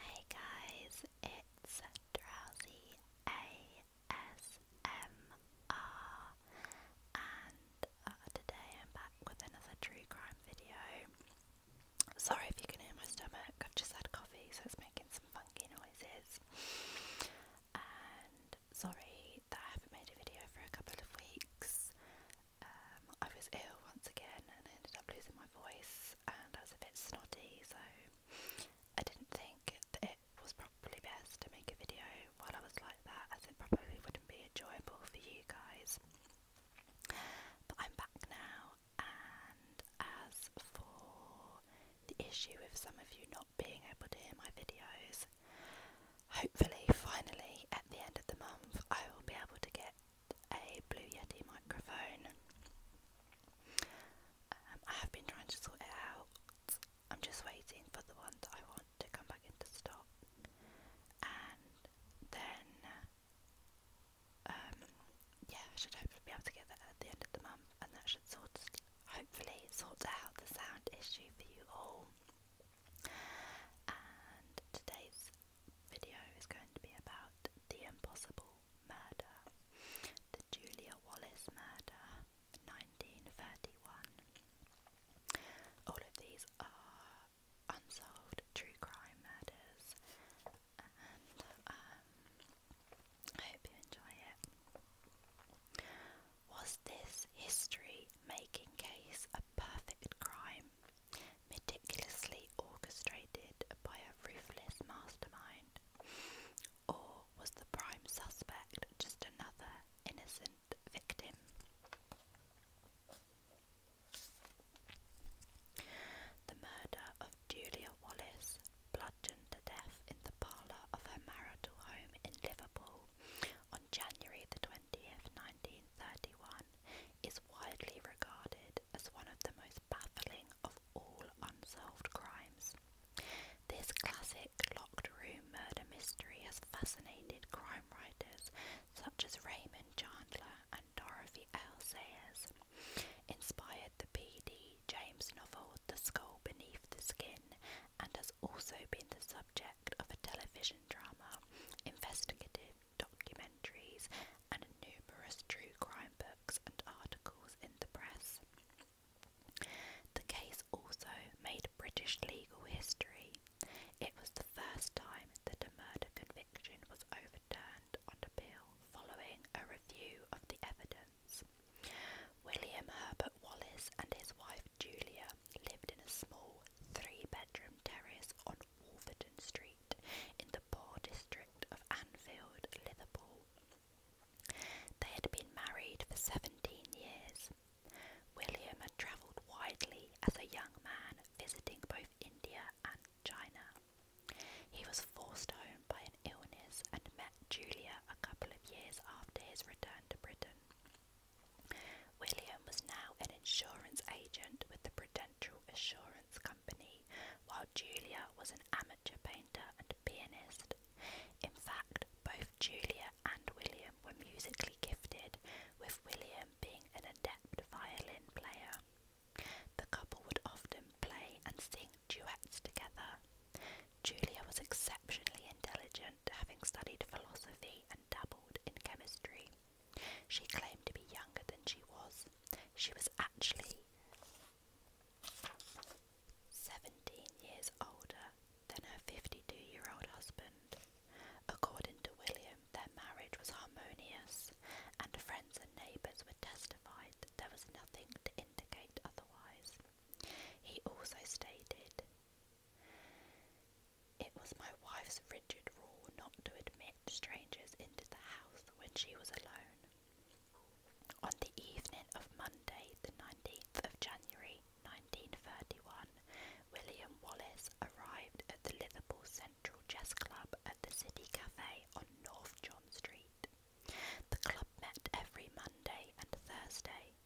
Hey guys, it's Drowsy ASMR, and uh, today I'm back with another true crime video. Sorry if you can hear my stomach, I've just had coffee, so it's making some funky noises. And sorry that I haven't made a video for a couple of weeks. Um, I was ill once again and I ended up losing my voice and I was a bit snotty so I didn't think that it was probably best to make a video while I was like that as it probably wouldn't be enjoyable for you guys. But I'm back now and as for the issue with some of you not being able to hear my videos, hopefully finally at the end of the month I will be able to get a Blue Yeti microphone. Um, I have been trying to sort it out. I'm just waiting for the one that I want to come back into stock, and then um, yeah, should hopefully be able to get that at the end of the month, and that should sort hopefully sort out the sound issue for you all. And today's video is going to be about the impossible murder, the Julia Wallace murder, 1931. All of these are unsolved true crime murders, and um, I hope you enjoy it. Was this history making case a perfect crime? meticulously orchestrated by a ruthless mastermind? Or was the prime suspect just another innocent victim? The murder of Julia Wallace, bludgeoned to death in the parlour of her marital home in Liverpool on January the 20th, 1931, is widely regarded cited as one of the most baffling of all unsolved crimes. This classic locked room murder mystery has fascinated crime writers such as Raymond Chandler and Dorothy L. Sayers, inspired the P.D. James novel The Skull Beneath the Skin, and has also been the subject of a television drama, investigative documentaries, and numerous true crime books and articles in the press. The case also made British legal history. It was the first time that a murder conviction was overturned on appeal following a review of the evidence. William Herbert Wallace and his wife Julia lived in a small three bedroom terrace on Wolverton Street in the poor district of Anfield, Liverpool. They had been married for seventeen years. William had travelled widely as a young man, visiting both India and China. He was forced home by an illness and met Julia a couple of years after his return to Britain. William was now an insurance agent with the Prudential Natural Assurance Company, while Julia was an amateur painter and pianist. In fact, both Julia and William were musically gifted, with William being an adept violin player. The couple would often play and sing duets together. Julia was exceptionally intelligent, having studied philosophy and dabbled in chemistry. She claimed to be younger than she was. She was actually 17 years older than her 52 year old husband. According to William, their marriage was harmonious, and friends and neighbours would testify that there was nothing to indicate otherwise. He also stated, it was my wife's rigid rule not to admit strangers into the house when she was alone. On the evening of Monday, the 19th of January 1931, William Wallace arrived at the Liverpool Central Chess Club at the City Cafe on North John Street. The club met every Monday and Thursday,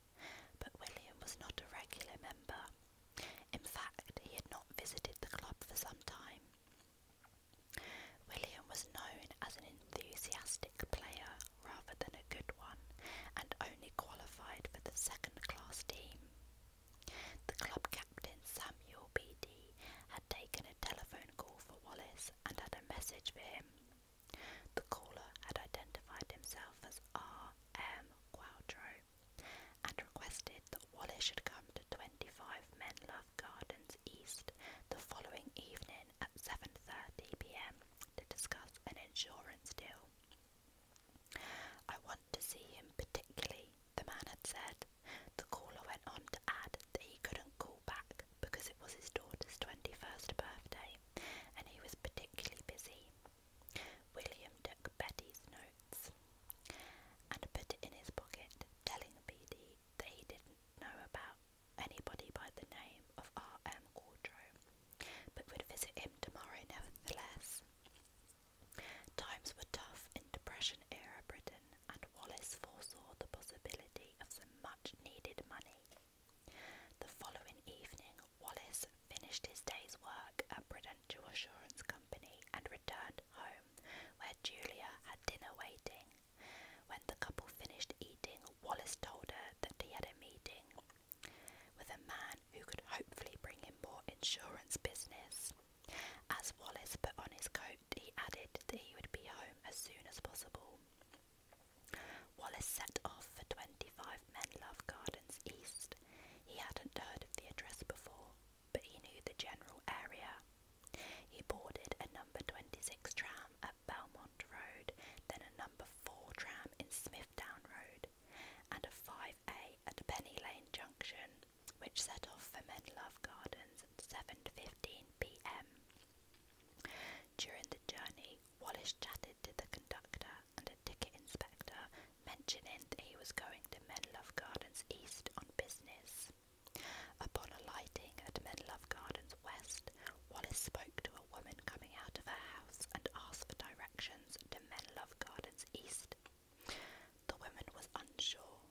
but William was not a regular member. In fact, he had not visited the club for some time. William was known as an enthusiastic player rather than a good one, and only qualified for the second class team. The club captain Samuel Beattie had taken a telephone call for Wallace and had a message for him. The caller had identified himself as R. M. Quadro and requested that Wallace should come to 25 Menlove Gardens East the following evening at 7.30pm to discuss an insurance deal. I want to see him particularly, the man had said. The caller went on to add that he couldn't call back because it was his daughter's 21st birthday and he was particularly busy. William took Betty's note notes and put it in his pocket, telling the PD that he didn't know about anybody by the name of R.M. Quadro, but would visit him tomorrow nevertheless. Times were tough in Depression era Britain, and Wallace foresaw the possibility of some much needed money. The following evening, Wallace finished his day's work at Prudential Assurance Company and returned home, where Julia had dinner waiting. When the couple finished eating, Wallace told her that he had a meeting with a man who could hopefully bring him more insurance business. As Wallace put on his coat, he added that he would be home as soon as possible. Wallace set off for 25 Menlove Gardens East. He hadn't heard of the address before, but he knew the general area. He boarded a number 26 tram at Belmont Road, then a number 4 tram in Smithdown Road, and a 5A at Penny Lane Junction, which set off for Menlove Gardens at 7.15pm. During the journey, Wallace chatted to the conductor and a ticket inspector mentioning that he was going to Menlove Gardens East on business. Upon alighting at Menlove Gardens West, Wallace spoke to a woman coming out of her house and asked for directions to Menlove Gardens East. The woman was unsure.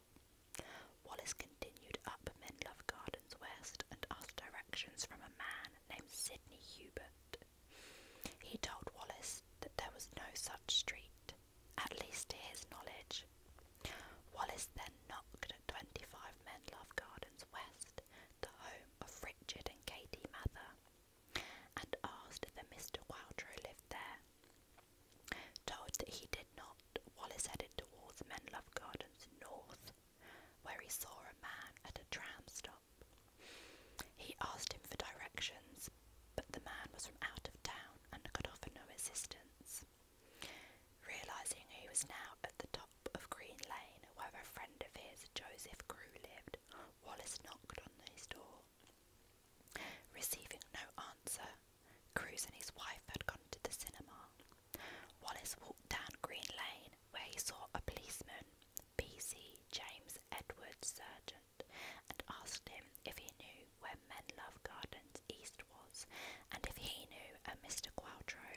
Wallace continued up Menlove Gardens West and asked directions from a man named Sydney Hubert. He told Wallace that there was no such street, at least to his knowledge. Wallace then knocked at 25 Menlove Gardens West, the home of Richard and Katie Mather, and asked if a Mr. Wildrow lived there. Told that he did not, Wallace headed towards Menlove Gardens North, where he saw a man at a tram stop. He asked him for directions, house, but the man was from out of town and could offer no assistance. Realising he was now at the top of Green Lane, where a friend of his, Joseph Crew, lived, Wallace knocked on his door. Receiving no answer, Cruz and his wife had gone to the cinema. Wallace walked down Green Lane, where he saw a policeman, B.C. James Edward Surgeon, and asked him if he knew where Menlove Gardens East was, and if he knew a Mr. Quattro.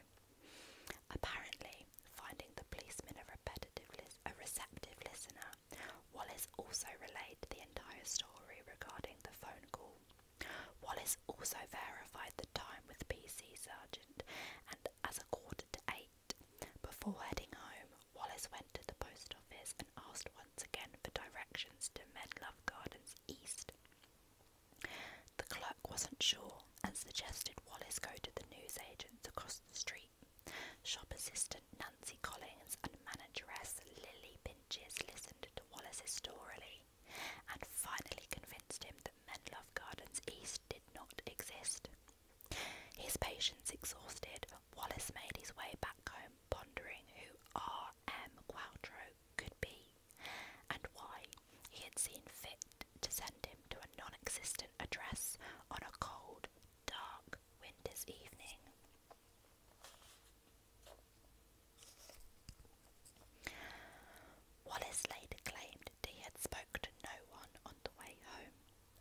Apparently, finding the policeman a repetitive, lis- a receptive listener, Wallace also relayed the entire story regarding the phone call. Wallace also verified the time with PC Sergeant, and as a quarter to eight. Before heading home, Wallace went to the post office and asked once again for directions to Medlove Gardens East. The clerk wasn't sure and suggested Wallace go to the newsagents across the street. Shop assistant Nancy Collins and manageress Lily Pinches listened to Wallace's story and finally convinced him that Menlove Gardens East did not exist. His patience exhausted, Wallace made his way back home, pondering who R. M. Quattro could be, and why he had seen fit to send him to a non-existent address on a cold, dark winter's evening. Wallace later claimed that he had spoken to no one on the way home,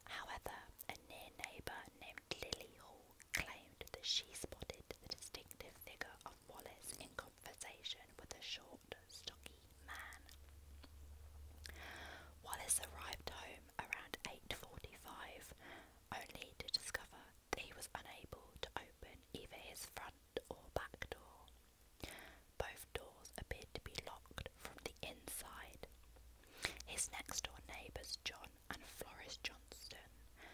However, a near neighbour named Lily Hall claimed that she spotted the distinctive figure of Wallace in conversation with a short, stocky man. Wallace arrived home around 8.45, only to discover that he was unable to open either his front or back door. Both doors appeared to be locked from the inside. His next door neighbours, John and Floris Johnston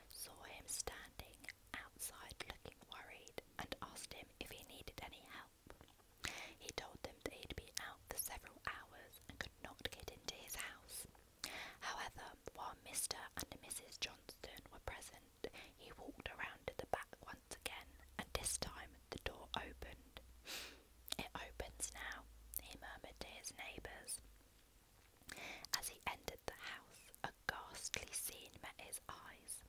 saw him standing outside looking worried and asked him if he needed any help. He told them that he'd been out for several hours and could not get into his house. However, while Mr. and Mrs. Johnston were present, he walked around to the back once again, and this time the door opened. It opens now, he murmured to his neighbours. As he entered the house, a ghastly scene met his eyes.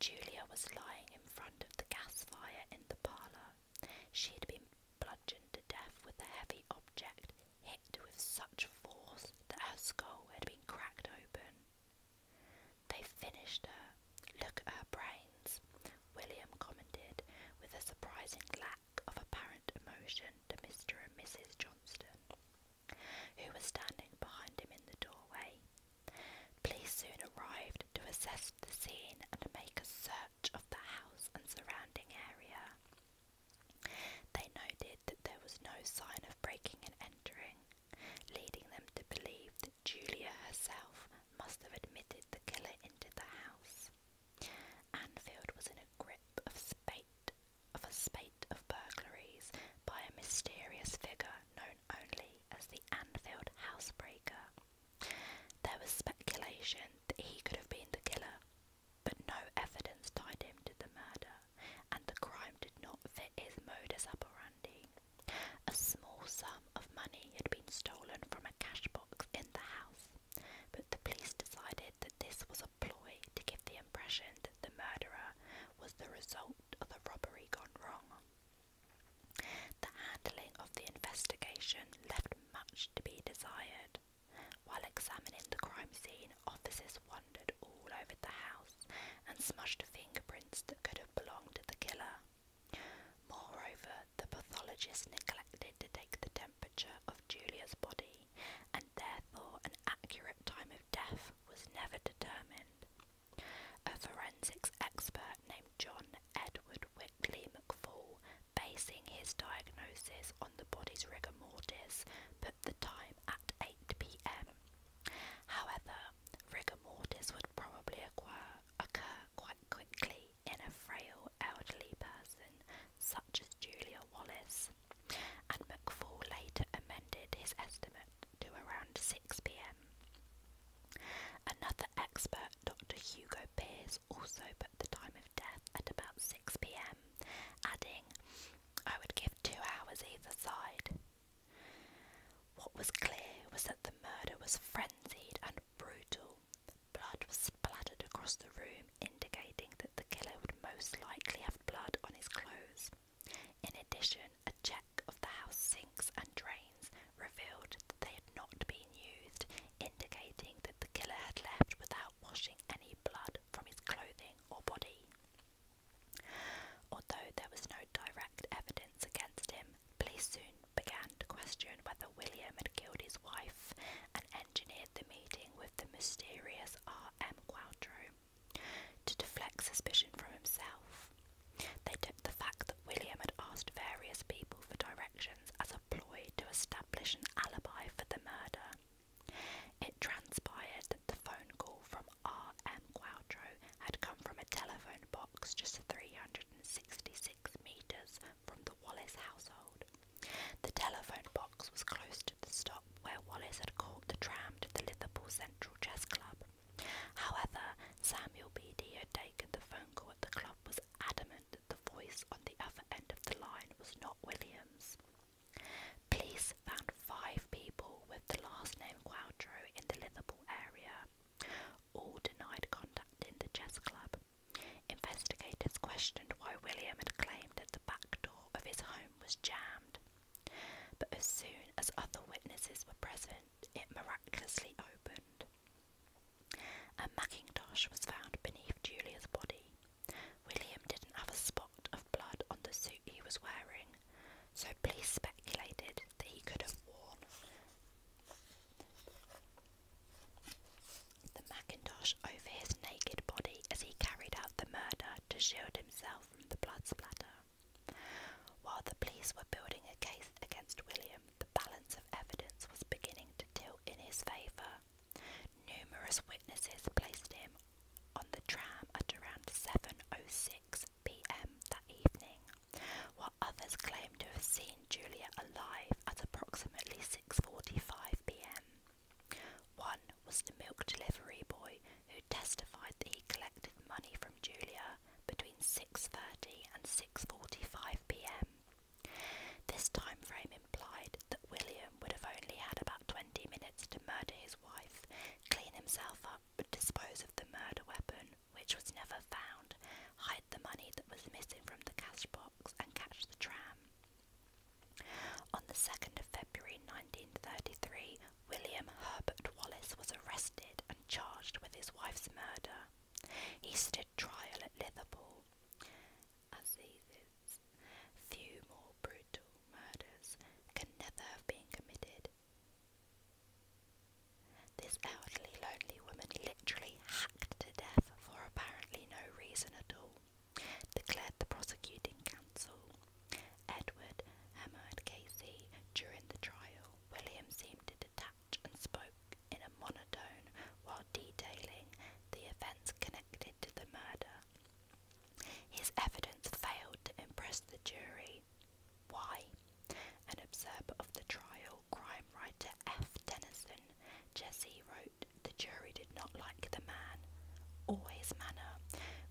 Julia was lying in front of the gas fire in the parlour. She had been bludgeoned to death with a heavy object, hit with such force that her skull had been cracked open. They finished her. Look at her brains, William commented with a surprising glare of apparent emotion to Mr. and Mrs. Johnston, who were standing behind him in the doorway. Police soon arrived to assess the scene and make a search of the house and surrounding area. They noted that there was no sign of breaking and entering, leading them to believe that Julia herself must have admitted the killer into the house. Anfield was in a grip of spate of burglaries by a mysterious figure known only as the Anfield Housebreaker. There was speculation that he could have been the killer, but no evidence tied him to the murder, and the crime did not fit his modus operandi. A small sum of money had been stolen from a cash box in the house but the police decided that this was a ploy to give the impression that the murderer was the result of a robbery gone wrong. The handling of the investigation left much to be desired. While examining the crime scene, officers wandered all over the house and smushed fingerprints that could have belonged to the killer. Moreover, the pathologist neglected to take the temperature of Julia's body, and therefore an accurate time of death was never determined. A forensics expert named John Edward Wickley McFall, basing his diagnosis on the body's rigor mortis, put the time at 8 pm. However, rigor mortis would probably occur quite quickly in a frail elderly person such as Julia Wallace, and McFall later amended his estimate to around 6 pm. Another expert, Dr. Hugo Pears, also put the time of death at about 6 pm, adding, I would give two hours either side. What was clear was that the murder was frenzied and brutal, Blood was splattered across the room, indicating that the killer would most likely have blood on his clothes. In addition, a check of the house sinks and drains revealed that they had not been used, indicating that the killer had left without washing any blood from his clothing or body. Although there was no direct evidence against him, police soon began to question whether William had killed his wife and engineered the meeting with the mysterious R.M. Quattro to deflect suspicion from himself. They took the fact that William had asked various people for directions as a ploy to establish an alibi for the murder. It transpired that the phone call from R.M. Quattro had come from a telephone box just 366 metres from the Wallace household. The telephone box was close to the stop where Wallace had caught the tram to the Liverpool Central Chess Club. However, Samuel Beattie had taken the phone call at the club was adamant that the voice on the other end of the line was not Williams. Police found five people with the last name Quattro in the Liverpool area. All denied in the chess club. Investigators questioned why William had claimed that the back door of his home was jammed, but as soon as other witnesses were present, it miraculously opened. A mackintosh was found beneath Julia's body. William didn't have a spot of blood on the suit he was wearing, so police speculated that he could have worn the Macintosh over his naked body as he carried out the murder to shield himself from the blood splatter. While the police were building a case against William, the balance of evidence was beginning to tilt in his favour. Numerous witnesses placed him on the tram at around 7.06 pm that evening, others claim to have seen Julia alive at approximately 6.45pm. One was the milk delivery boy who testified that he collected money from Julia between 6.30 and 6.45pm. This time frame implied that William would have only had about 20 minutes to murder his wife, clean himself up, and dispose of the murder weapon, which was never found, hide the money that was missing from the cash box, and catch the tram. On the 2nd of February 1933, William Herbert Wallace was arrested and charged with his wife's murder. He stood trial at Liverpool. Assizes. Few more brutal murders can never have been committed. This elderly, lonely woman literally hacked to death for apparently no reason at all, declared the prosecuting counsel. Edward, Emma, and Casey, during the trial, William seemed to detach and spoke in a monotone while detailing the events connected to the murder. His evidence failed to impress the jury. Why? An observer of the trial serial crime writer F. Tennyson, Jesse wrote, The jury did not like the man or his manner,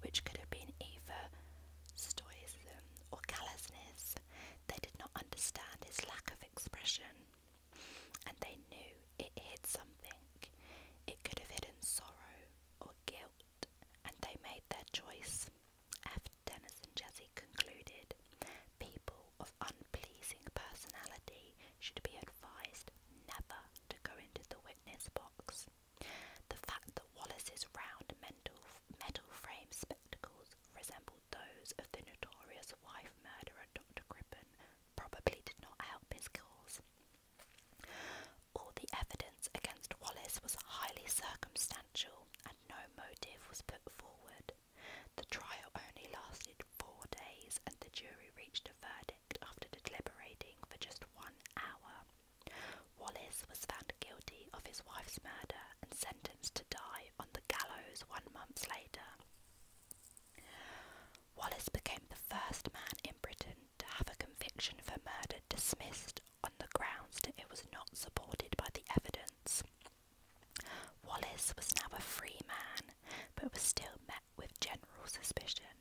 which could have been either stoicism or callousness. They did not understand his lack of expression, and they knew it hid something. It could have hidden sorrow or guilt, and they made their choice. F. Tennyson Jesse concluded, People of un unpleasing personality should be advised never to go into the witness box. The fact that Wallace's round metal frame spectacles resembled those of the notorious wife murderer Dr. Crippen probably did not help his cause. All the evidence against Wallace was highly circumstantial and no motive was put forward. The trial only lasted four days, and the jury reached a verdict after deliberating for just one hour. Wallace was found guilty of his wife's murder and sentenced to die on the gallows one month later. Wallace became the first man in Britain to have a conviction for murder dismissed on the grounds that it was not supported by the evidence. Wallace was now a free man, but was still met with general suspicion.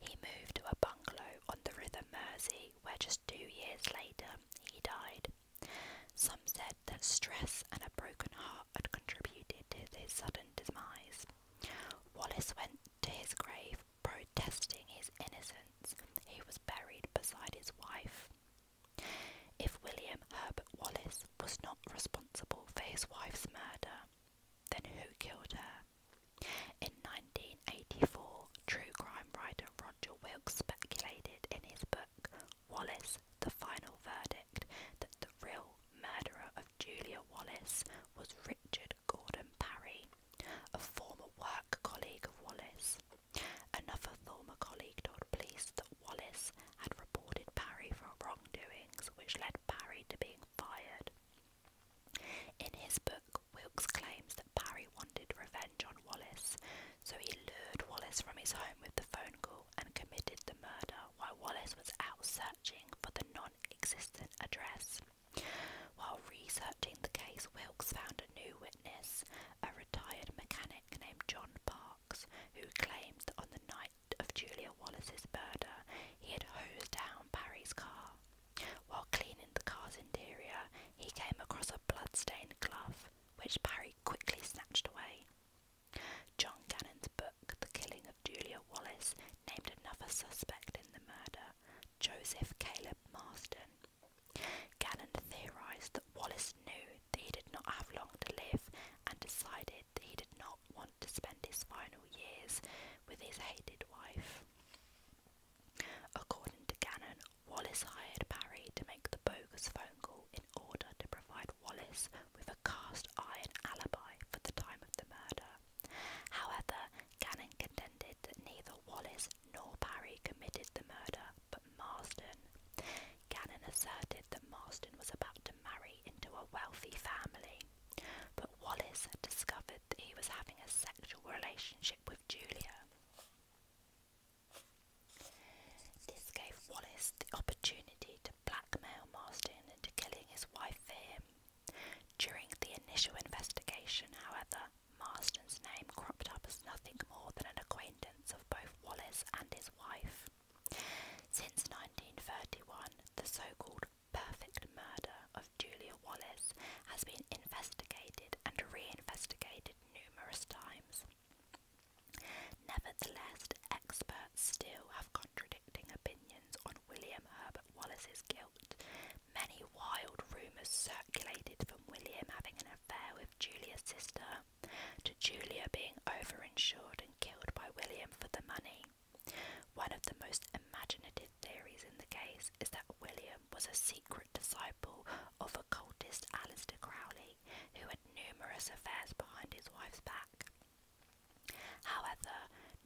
He moved to a bungalow on the River Mersey, where just two years later he died. Some said that stress and a broken heart had contributed to his sudden demise. Wallace went to his grave protesting his innocence. He was buried beside his wife. If William Herbert Wallace was not responsible for his wife's murder, then who killed her? In 1984, true crime writer Roger Wilkes speculated in his book Wallace, The Final Verdict, that the real murderer of Julia Wallace was Richard Gordon Parry, a former work colleague of Wallace. Another former colleague told police that Wallace had reported Parry for wrongdoings, which led Parry to being fired. In his book, Wilkes claims that Parry wanted revenge on Wallace, so he lured Wallace from his home with the phone call and committed the murder while Wallace was out searching for the non existent address. While researching the case, Wilkes found a new witness, a retired mechanic named John Parr who claimed on the night of Julia Wallace's murder, he had hosed down Barry's car. While cleaning the car's interior, he came across a blood-stained glove, which Barry quickly snatched away. John Gannon's book, The Killing of Julia Wallace, named another suspect in the murder, Joseph Caleb Marston. Gannon theorised that Wallace knew he did not have long to live and decided that he did not want to spend his final years with his hated wife. According to Gannon, Wallace hired Parry to make the bogus phone call in order to provide Wallace with a cast iron alibi for the time of the murder. However, Gannon contended that neither Wallace nor Parry committed the murder, but Marsden. Gannon asserted that Marsden was about to marry into a wealthy family, but Wallace had discovered that he was having a sexual relationship with Julia. This gave Wallace the opportunity to blackmail Marsden into killing his wife for him. During the initial investigation, however, Marsden's name cropped up as nothing more than an acquaintance of both Wallace and his wife. Since 1931, the so-called perfect murder of Julia Wallace has been investigated and re-investigated numerous times. Nevertheless, experts still have contradicting opinions on William Herbert Wallace's guilt. Many wild rumours circulated from William having an affair with Julia's sister, to Julia being over-insured and killed by William for the money. One of the most imaginative theories in the case is that William was a secret disciple of occultist Alistair Crowley, who had numerous affairs behind his wife's back. However,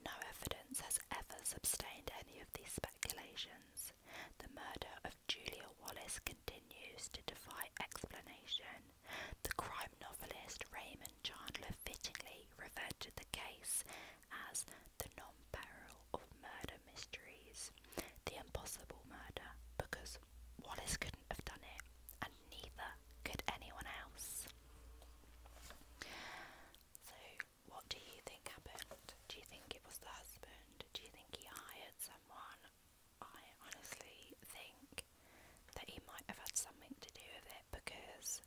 no evidence has ever sustained any of these speculations. The murder of Julia Wallace continues to defy explanation, the crime novelist Raymond Chandler fittingly referred to the case as the non peril of murder mysteries, the impossible murder, because Wallace couldn't have done it, and neither could anyone else. So, what do you think happened? Do you think it was the husband? Do you think he hired someone? I honestly think that he might have had something to do with it because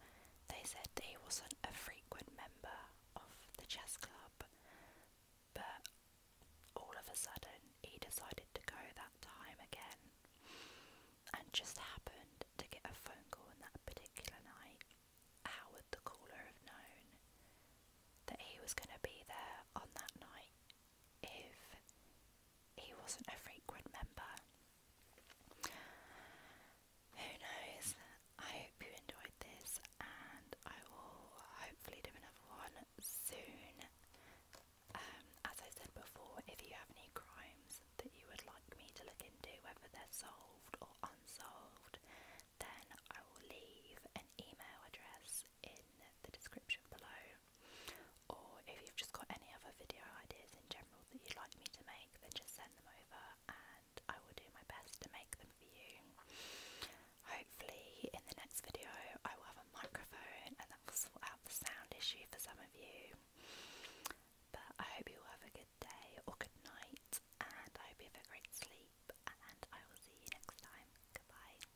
they said that he wasn't a frequent member of the chess club, but all of a sudden he decided to go that time again and just happened to get a phone call on that particular night. How would the caller have known that he was going to be there on that night if he wasn't a frequent member. Who knows? I hope you enjoyed this, and I will hopefully do another one soon. Um, as I said before, if you have any crimes that you would like me to look into, whether they're solved or unsolved, then I will leave an email address in the description below. Or if you've just got any other video ideas in general that you'd like me to make, then just send them over and I will do my best to make them for you. Hopefully, in the next video, I will have a microphone and that will sort out the sound issue for some of you. But I hope you all have a good day or good night, and I hope you have a great sleep, and I will see you next time. Goodbye.